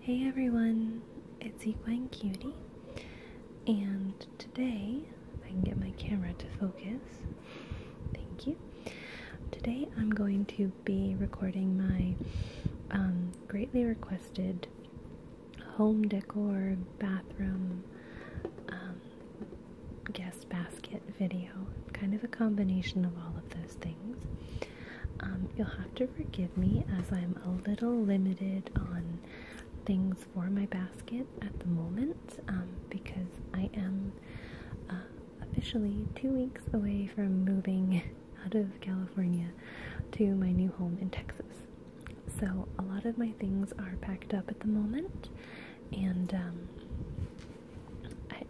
Hey everyone, it's Equine Cutie, and today, I can get my camera to focus, thank you. Today I'm going to be recording my um, greatly requested home decor bathroom um, guest basket video. Kind of a combination of all of those things. Um, you'll have to forgive me as I'm a little limited on things for my basket at the moment um, because I am uh, officially two weeks away from moving out of California to my new home in Texas. So, a lot of my things are packed up at the moment, and um,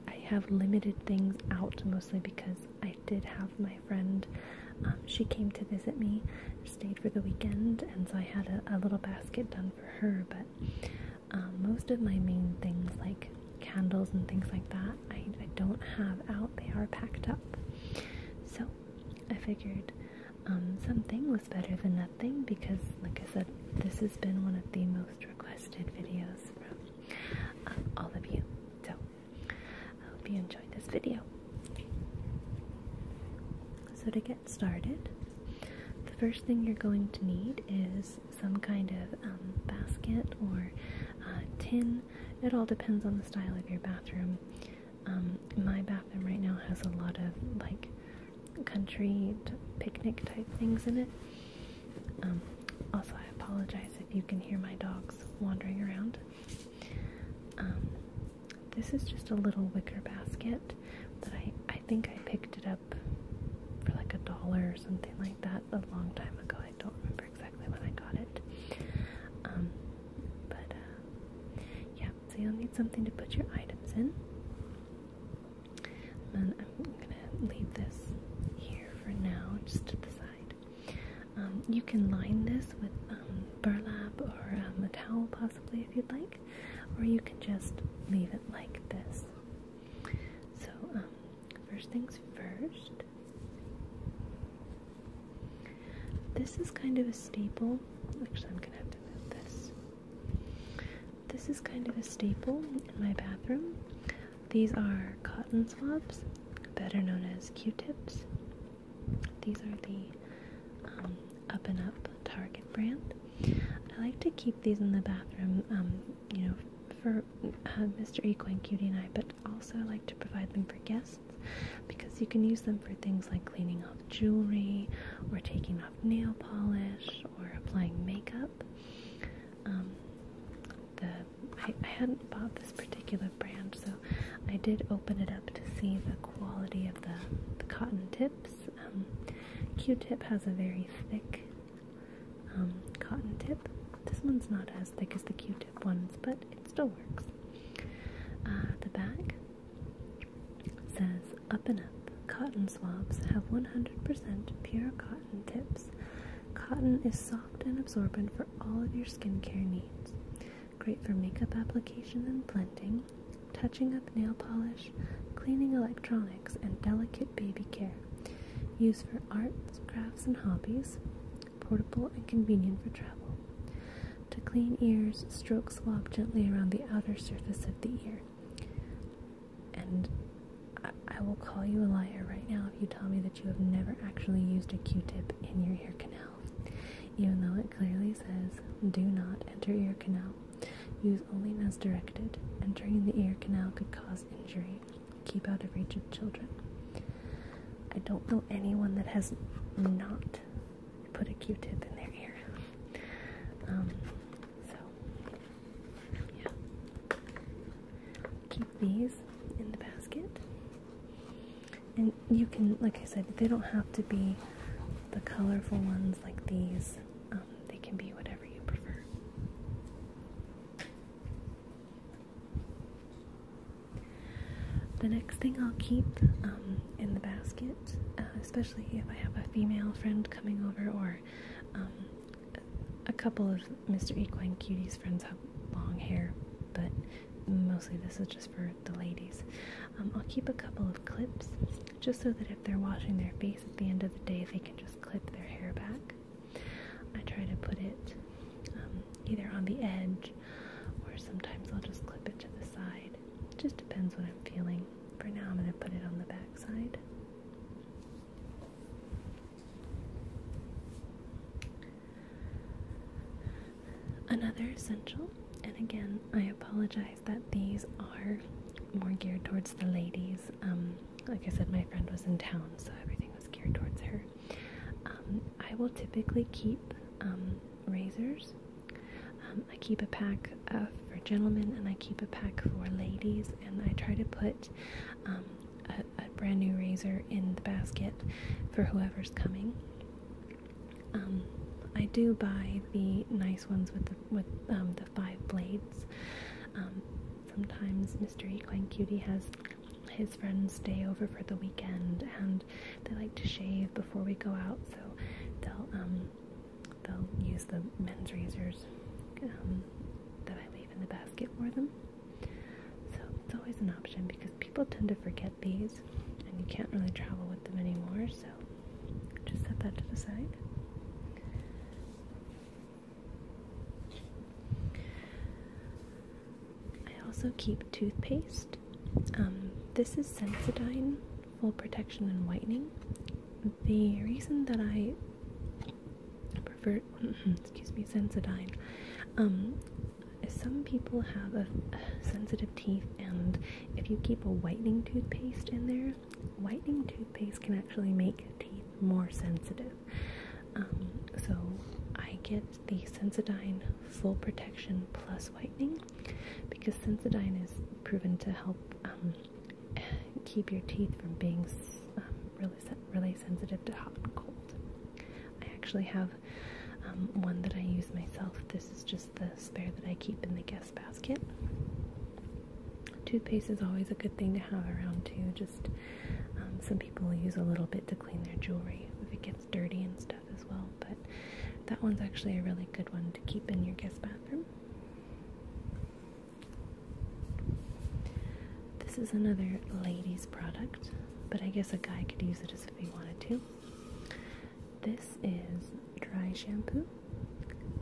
I, have limited things out mostly because I did have my friend. Um, she came to visit me, stayed for the weekend, and so I had a, little basket done for her. But um, most of my main things, like candles and things like that, I, don't have out. They are packed up. So I figured um, something was better than nothing because, like I said, this has been one of the most requested videos from uh, all of you. So I hope you enjoyed this video. So to get started, the first thing you're going to need is some kind of um, basket or uh, tin. It all depends on the style of your bathroom. Um, my bathroom right now has a lot of like country picnic type things in it. Um, also, I apologize if you can hear my dogs wandering around. Um, this is just a little wicker basket that I, I think I picked it up for like a dollar or something like that a long time ago. I don't remember exactly when I got it. Um, but uh, yeah, so you'll need something to put your items in. And I'm gonna leave this here for now, just to the side. Um, you can line this with um, burlap or um, a towel, possibly, if you'd like, or you can just leave it like this. So, um, first things first. This is kind of a staple. Actually, I'm gonna have to move this. This is kind of a staple in my bathroom. These are cotton swabs, better known as Q-tips. These are the um, Up and Up Target brand. I like to keep these in the bathroom, um, you know, for uh, Mr. Equine Cutie and I, but also I like to provide them for guests because you can use them for things like cleaning off jewelry or taking off nail polish or applying makeup. Um, the I, hadn't bought this particular brand, so I did open it up to see the quality of the, the cotton tips. Um, Q-tip has a very thick um, cotton tip. This one's not as thick as the Q-tip ones, but it still works. Uh, the back says, Up and Up, cotton swabs have 100% pure cotton tips Cotton is soft and absorbent for all of your skincare needs. Great for makeup application and blending, touching up nail polish, cleaning electronics, and delicate baby care. Used for arts, crafts, and hobbies. Portable and convenient for travel. To clean ears, stroke swab gently around the outer surface of the ear. And I, will call you a liar right now if you tell me that you have never actually used a Q-tip in your ear canal. Even though it clearly says, do not enter ear canal. Use only as directed. Entering the ear canal could cause injury. Keep out of reach of children. I don't know anyone that has not put a Q-tip in their ear. Um, so, yeah. Keep these in the basket. And you can, like I said, they don't have to be the colorful ones like these. Um, they can be whatever you prefer. The next thing I'll keep um, in the basket, uh, especially if I have a female friend coming over or um, a couple of Mr. Equine Cutie's friends have long hair, but mostly this is just for the ladies. Um, I'll keep a couple of clips just so that if they're washing their face at the end of the day, they can just clip their hair back. I try to put it um, either on the edge or sometimes I'll just clip it to the side. It just depends what I'm feeling. For now, I'm going to put it on the back side. Another essential, and again, I apologize that these are more geared towards the ladies. Um, like I said, my friend was in town, so everything was geared towards her. Um, I will typically keep um, razors. I keep a pack of for gentlemen and I keep a pack for ladies and I try to put um, a, brand new razor in the basket for whoever's coming. Um, I do buy the nice ones with the, with um, the five blades. sometimes Mr. Equine Cutie has his friends stay over for the weekend, and they like to shave before we go out, so they'll they'll use the men's razors um, that I leave in the basket for them. So it's always an option because people tend to forget these and you can't really travel with them anymore, so just set that to the side. I also keep toothpaste. Um, this is Sensodyne full protection and whitening. The reason that I prefer, excuse me, Sensodyne, um, some people have a, sensitive teeth, and if you keep a whitening toothpaste in there, whitening toothpaste can actually make teeth more sensitive. Um, so I get the Sensodyne full protection plus whitening because Sensodyne is proven to help um, keep your teeth from being um, really really sensitive to hot and cold. I actually have um, one that I use myself. This is just the spare that I keep in the guest basket. Toothpaste is always a good thing to have around too. Just um, some people use a little bit to clean their jewelry if it gets dirty and stuff as well. But that one's actually a really good one to keep in your guest bathroom. This is another lady's product, but I guess a guy could use it as if he wanted to. This is dry shampoo.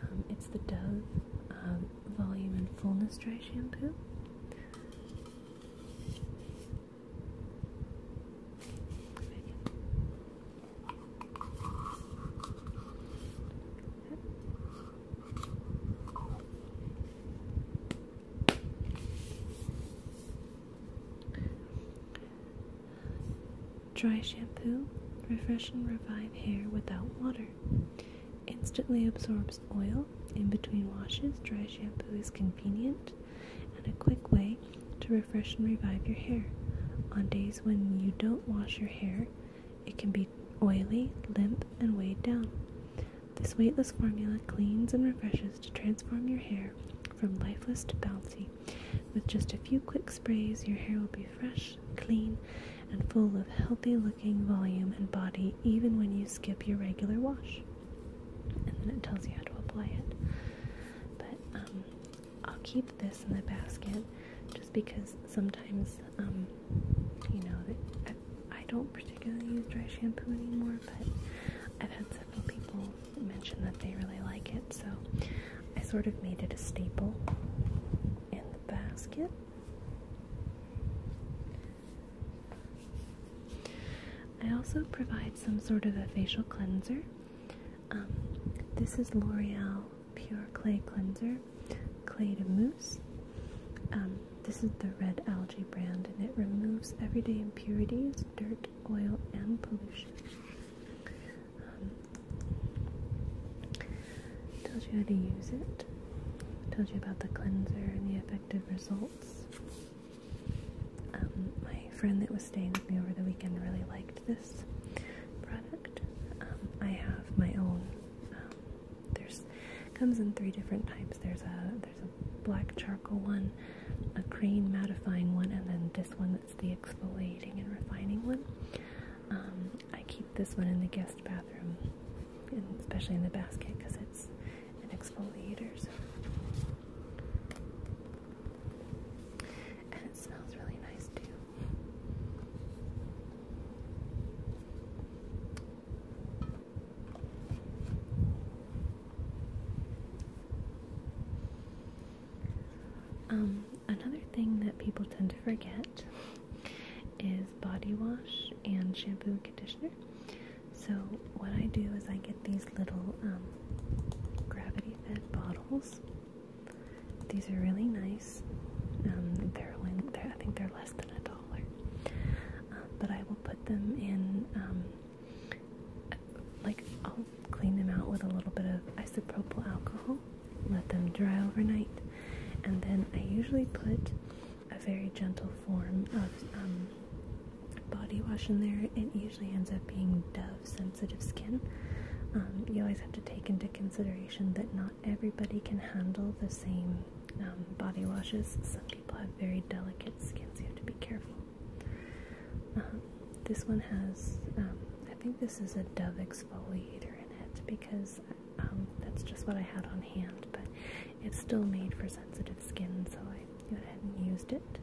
Um, it's the Dove um, Volume and Fullness Dry Shampoo. Dry shampoo, refresh and revive hair without water. Instantly absorbs oil in between washes. Dry shampoo is convenient and a quick way to refresh and revive your hair. On days when you don't wash your hair, it can be oily, limp, and weighed down. This weightless formula cleans and refreshes to transform your hair from lifeless to bouncy. With just a few quick sprays, your hair will be fresh, clean, and full of healthy looking volume and body even when you skip your regular wash. And then it tells you how to apply it. But um, I'll keep this in the basket just because sometimes, um, you know, I, don't particularly use dry shampoo anymore, but I've had several people mention that they really like it, so I sort of made it a staple in the basket. I also provide some sort of a facial cleanser. Um, this is L'Oreal Pure Clay Cleanser, Clay to Mousse. Um, this is the Red Algae brand, and it removes everyday impurities, dirt, oil, and pollution. Um, tells you how to use it. Told you about the cleanser and the effective results. Um, my friend that was staying with me over the weekend really liked this product. Um, I have my own. Um, there's comes in three different types. There's a there's a black charcoal one, a green mattifying one, and then this one that's the exfoliating and refining one. Um, I keep this one in the guest bathroom, and especially in the basket because it's an exfoliator. And it smells really nice too. Um, another thing that people tend to forget is body wash and shampoo and conditioner. So, what I do is I get these little um, gravity fed bottles these are really nice. Um, they're, I think they're less than a dollar, um, but I will put them in. Um, like I'll clean them out with a little bit of isopropyl alcohol, let them dry overnight, and then I usually put a very gentle form of body wash in there. It usually ends up being Dove sensitive skin, um, you always have to take into consideration that not everybody can handle the same um, body washes. Some people have very delicate skin, so you have to be careful. Um, this one has, I think this is a Dove exfoliator in it because that's just what I had on hand, but it's still made for sensitive skin, so I went not used it.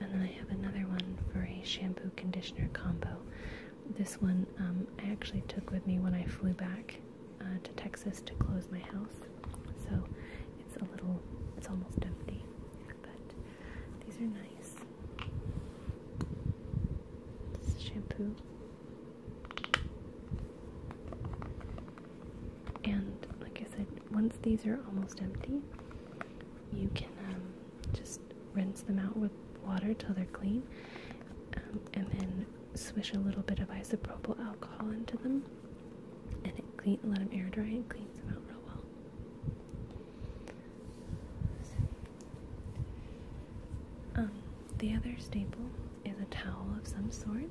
And then I have another one for a shampoo conditioner combo. This one um, I actually took with me when I flew back uh, to Texas to close my house. So it's a little, it's almost empty. But these are nice. This is shampoo. And like I said, once these are almost empty, you can um, just rinse them out with water till they're clean, um, and then swish a little bit of isopropyl alcohol into them, and let them air dry and cleans them out real well. Um, the other staple is a towel of some sort.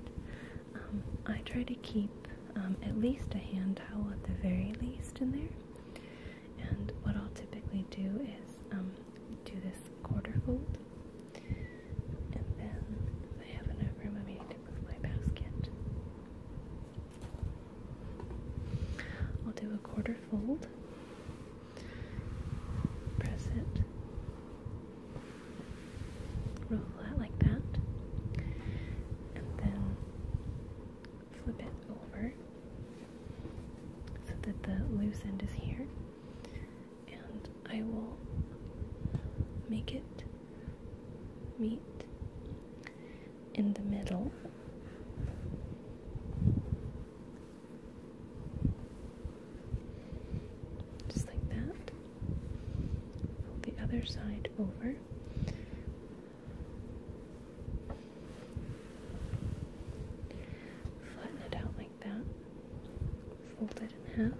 Um, I try to keep um, at least a hand towel at the very least in there. And what I'll typically do is um, do this quarter fold. And then I have enough room, I may need to my basket. I'll do a quarter fold, press it, roll that like that, and then flip it over so that the loose end is here, and I will make it meet in the middle. Just like that. Fold the other side over. Flatten it out like that. Fold it in half.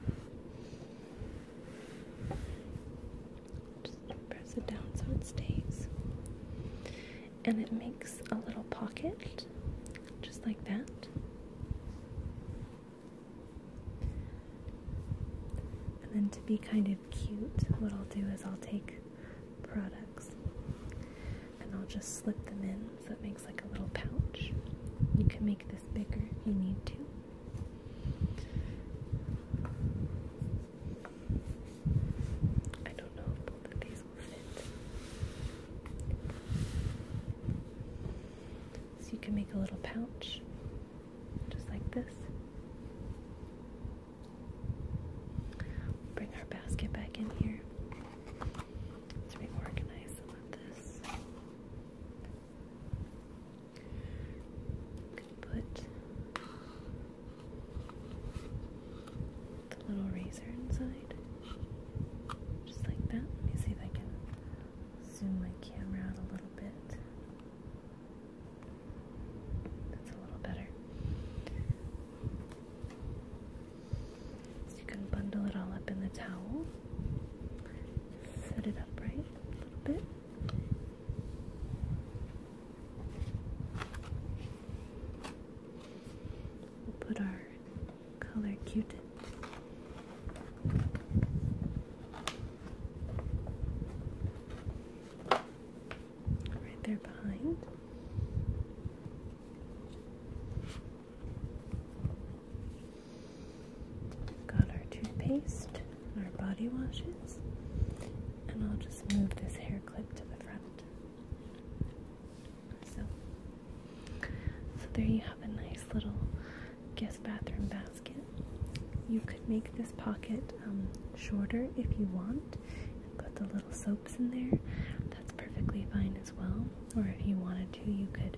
Just press it down so it stays. And it makes a little pocket just like that. And then to be kind of cute, what I'll do is I'll take products and I'll just slip them in so it makes like a little pouch. You can make this bigger if you need to. I don't know if both of these will fit. So you can make a little pouch, just like this. Bring our basket back in here. Let's reorganize some of this. You could put the little razor inside, just like that. Let me see if I can zoom my camera out a little bit. That's a little better. you can bundle it all up in the towel. Set it up a little bit. We'll put our color cute, Right there behind. Got our toothpaste, our body washes, and I'll just move this hair clip to the front. So so there you have a nice little guest bathroom basket. You could make this pocket um, shorter if you want and put the little soaps in there. That's perfectly fine as well. Or if you wanted to, you could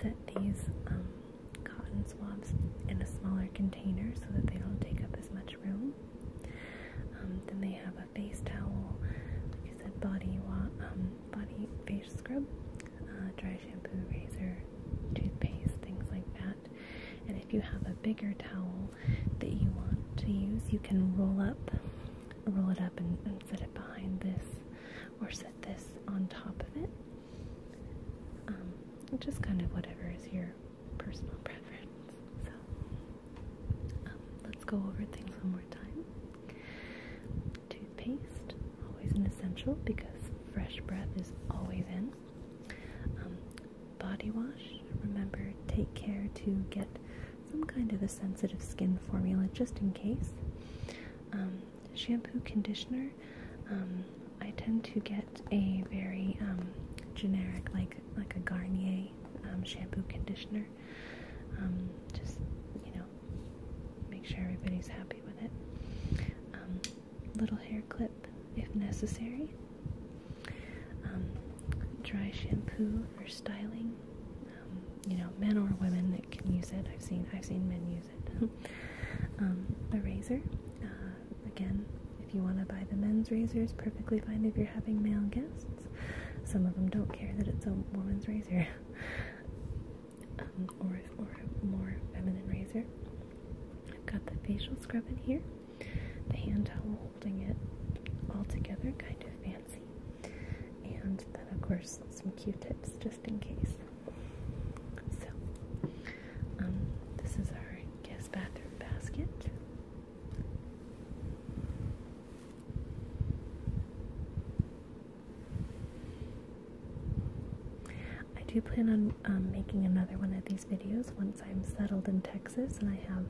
set these um, cotton swabs in a smaller container so that they don't take up as much room. Um, then they have a face towel, like I said, body, wa body, face scrub, uh, dry shampoo, razor, toothpaste, things like that. And if you have a bigger towel that you want to use, you can roll up, roll it up, and, set it behind this, or set this on top of it. Um, just kind of whatever is your personal preference. So um, let's go over things one more time toothpaste, always an essential because fresh breath is always in. Um, body wash, remember, take care to get some kind of a sensitive skin formula just in case. Um, shampoo, conditioner, um, I tend to get a very generic, like like a Garnier shampoo conditioner. Um, just, you know, make sure everybody's happy with it. Um, little hair clip if necessary. Um, dry shampoo for styling. you know, men or women that can use it. I've seen I've seen men use it. um, a razor. Uh, again, if you want to buy the men's razors, perfectly fine if you're having male guests. Some of them don't care that it's a woman's razor. Um, or, a more feminine razor. I've got the facial scrub in here, the hand towel holding it all together, kind of fancy, and then, of course, some q tips just in case. So, um, this is our guest bathroom basket. I do plan on um, making another one of these videos once I'm settled in Texas and I have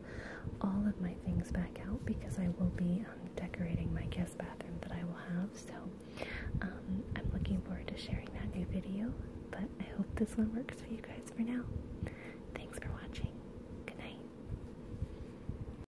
all of my things back out because I will be um, decorating my guest bathroom that I will have. So um, I'm looking forward to sharing that new video. But I hope this one works for you guys for now. Thanks for watching. Good night.